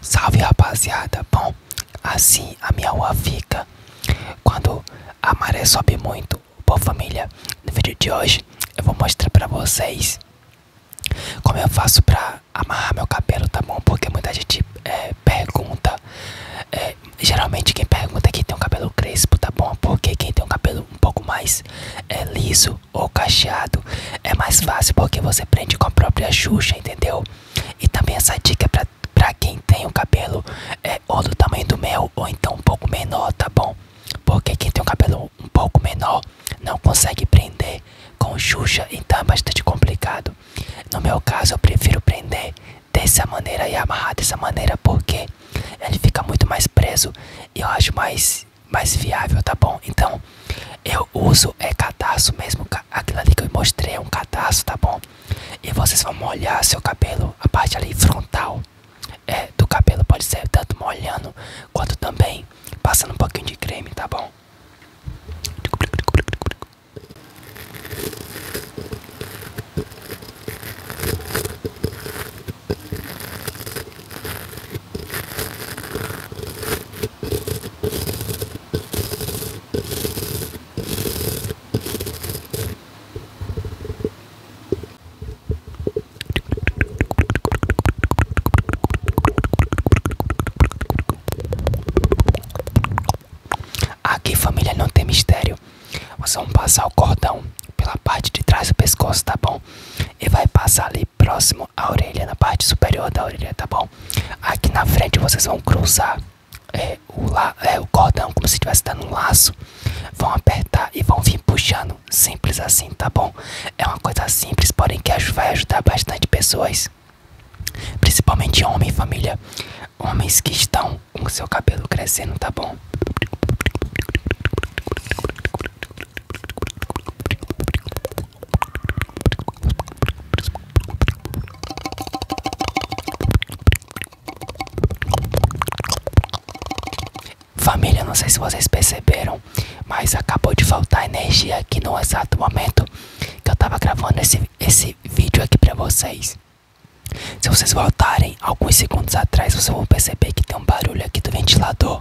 Salve rapaziada, bom, assim a minha rua fica quando a maré sobe muito. Boa família, no vídeo de hoje eu vou mostrar pra vocês como eu faço pra amarrar meu cabelo, tá bom? Porque muita gente é, pergunta, é, geralmente quem pergunta é quem tem um cabelo crespo, tá bom? Porque quem tem um cabelo um pouco mais é, liso ou cacheado é mais fácil porque você prende com a própria xuxa, entendeu? E também essa dica para pra, quem tem o cabelo é ou do tamanho do meu ou então um pouco menor, tá bom? Porque quem tem um cabelo um pouco menor não consegue prender com xuxa, então é bastante complicado. No meu caso eu prefiro prender dessa maneira e amarrar dessa maneira porque ele fica muito mais preso e eu acho mais mais, viável, tá bom? Então, eu uso é cadastro mesmo, aquela ali que eu mostrei é um cadastro, tá bom? E vocês vão molhar seu cabelo, a parte ali frontal é, do cabelo pode ser tanto molhando quanto também passando um pouquinho de creme, tá bom? Aqui, família, não tem mistério. Vocês vão passar o cordão pela parte de trás do pescoço, tá bom? E vai passar ali próximo à orelha, na parte superior da orelha, tá bom? Aqui na frente vocês vão cruzar é, o, la é, o cordão como se estivesse dando um laço. Vão apertar e vão vir puxando. Simples assim, tá bom? É uma coisa simples, porém que vai ajudar bastante pessoas. Principalmente homens família. Homens que estão com o seu cabelo crescendo, tá bom? Família, não sei se vocês perceberam, mas acabou de faltar energia aqui no exato momento que eu tava gravando esse, esse vídeo aqui pra vocês. Se vocês voltarem alguns segundos atrás, vocês vão perceber que tem um barulho aqui do ventilador.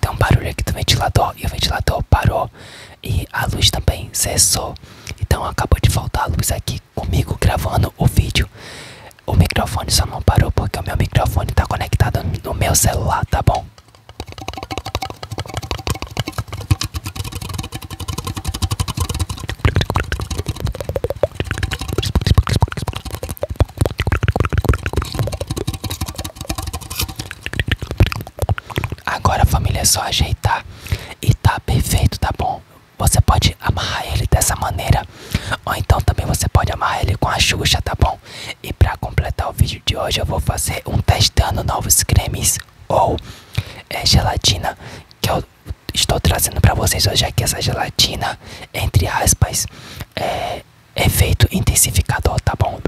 Tem um barulho aqui do ventilador e o ventilador parou e a luz também cessou. Então acabou de faltar a luz aqui comigo gravando o vídeo. O microfone só não parou porque o meu microfone está conectado no meu celular, tá bom? Agora, família, é só ajeitar e tá perfeito, tá bom? Você pode amarrar ele dessa maneira, ou então também você pode amarrar ele com a Xuxa, tá bom? E pra completar o vídeo de hoje, eu vou fazer um testando novos cremes ou é, gelatina que eu estou trazendo para vocês hoje aqui essa gelatina, entre aspas, é, efeito é intensificador, tá bom?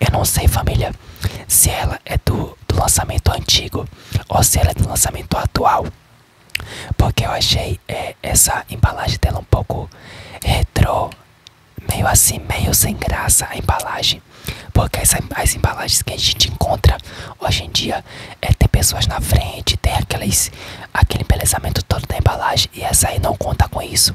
Eu não sei, família, se ela é do, do lançamento antigo ou se ela é do lançamento atual. Porque eu achei é, essa embalagem dela um pouco retrô, meio assim, meio sem graça a embalagem. Porque as, embalagens que a gente encontra hoje em dia é tem pessoas na frente, tem aqueles, aquele embelezamento todo da embalagem e essa aí não conta com isso.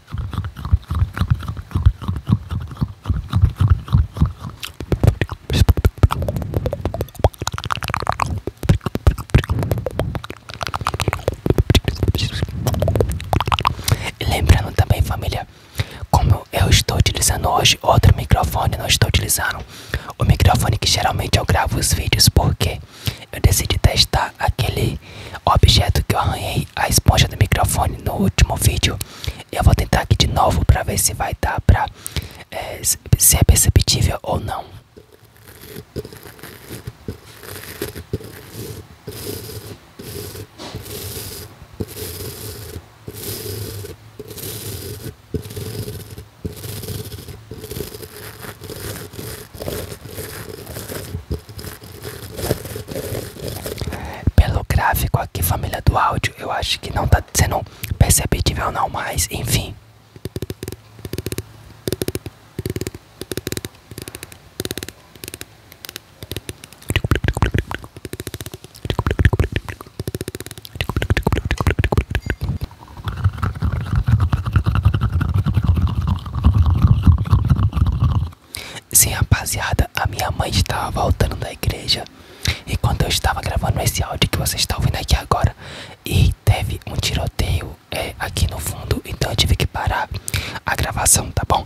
E lembrando também, família, como eu estou utilizando hoje outro microfone, não estou utilizando o microfone que geralmente eu gravo os vídeos, porque eu decidi testar aquele objeto que eu arranhei a esponja do microfone no último vídeo. Eu vou tentar aqui de novo para ver se vai dar para é, ser é perceptível ou não. Pelo gráfico aqui, família do áudio, eu acho que não tá sendo perceptível não, mas enfim. Sim, rapaziada, a minha mãe estava voltando da igreja e quando eu estava gravando esse áudio que vocês estão ouvindo aqui agora e teve um tiroteio é, aqui no fundo, então eu tive que parar a gravação, tá bom?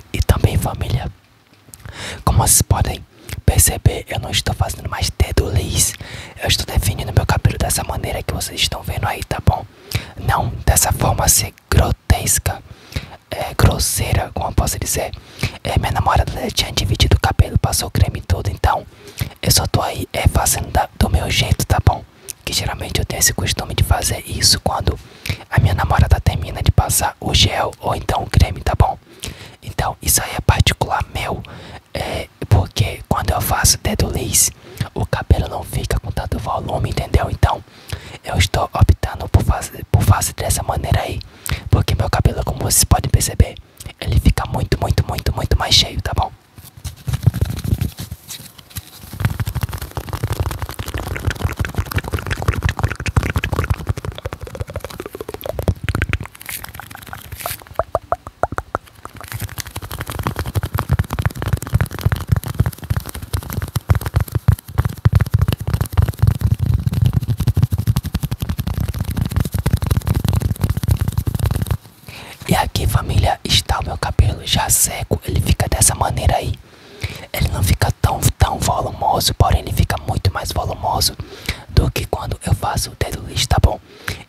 e também família. Como vocês podem perceber, eu não estou fazendo mais dedo liz. Eu estou definindo meu cabelo dessa maneira que vocês estão vendo aí, tá bom? Não dessa forma ser grotesca, é, grosseira, como eu posso dizer. É, minha namorada tinha dividido o cabelo, passou creme todo, então eu só tô aí é, fazendo do meu jeito, tá bom? que geralmente eu tenho esse costume de fazer isso quando a minha namorada termina de passar o gel ou então o creme, tá bom? Então isso aí é particular meu, é, porque quando eu faço dedo liso, o cabelo não fica com tanto volume, entendeu? Então eu estou optando por fazer, por fazer dessa maneira aí, porque meu cabelo, como vocês podem perceber, ele fica muito, muito, muito, muito mais cheio, tá bom? E aqui, família, tá o meu cabelo já seco, ele fica dessa maneira aí. Ele não fica tão, tão volumoso, porém ele fica muito mais volumoso do que quando eu faço o dedo lixo, tá bom?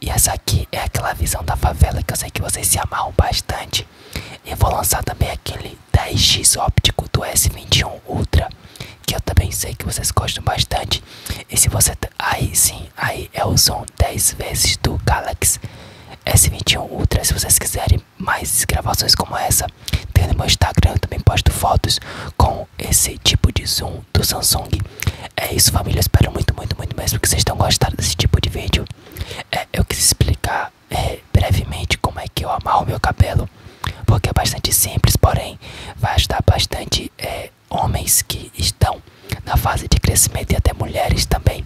E essa aqui é aquela visão da favela que eu sei que vocês se amaram bastante. Eu vou lançar também aquele 10x óptico do S21 Ultra, que eu também sei que vocês gostam bastante. E se você... Aí sim, aí é o som 10 vezes do Galaxy S21 Ultra. Se vocês quiserem mais gravações como essa, tem no meu Instagram. Eu também posto fotos com esse tipo de zoom do Samsung. É isso, família. espero muito, muito, muito mesmo que vocês tenham gostado desse tipo de vídeo. É, eu quis explicar é, brevemente como é que eu amarro meu cabelo, porque é bastante simples, porém vai ajudar bastante é, homens que estão na fase de crescimento e até mulheres também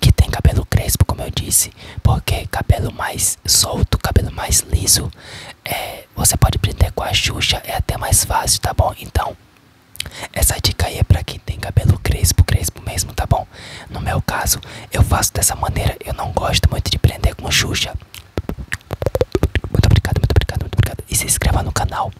que tem cabelo crespo, como eu disse, porque cabelo mais solto, cabelo mais liso, é, você pode prender com a Xuxa, é até mais fácil, tá bom? Então, essa dica aí é pra quem tem cabelo crespo, crespo mesmo, tá bom? No meu caso, eu faço dessa maneira, eu não gosto muito de prender com Xuxa. Muito obrigado, muito obrigado, muito obrigado. E se inscreva no canal.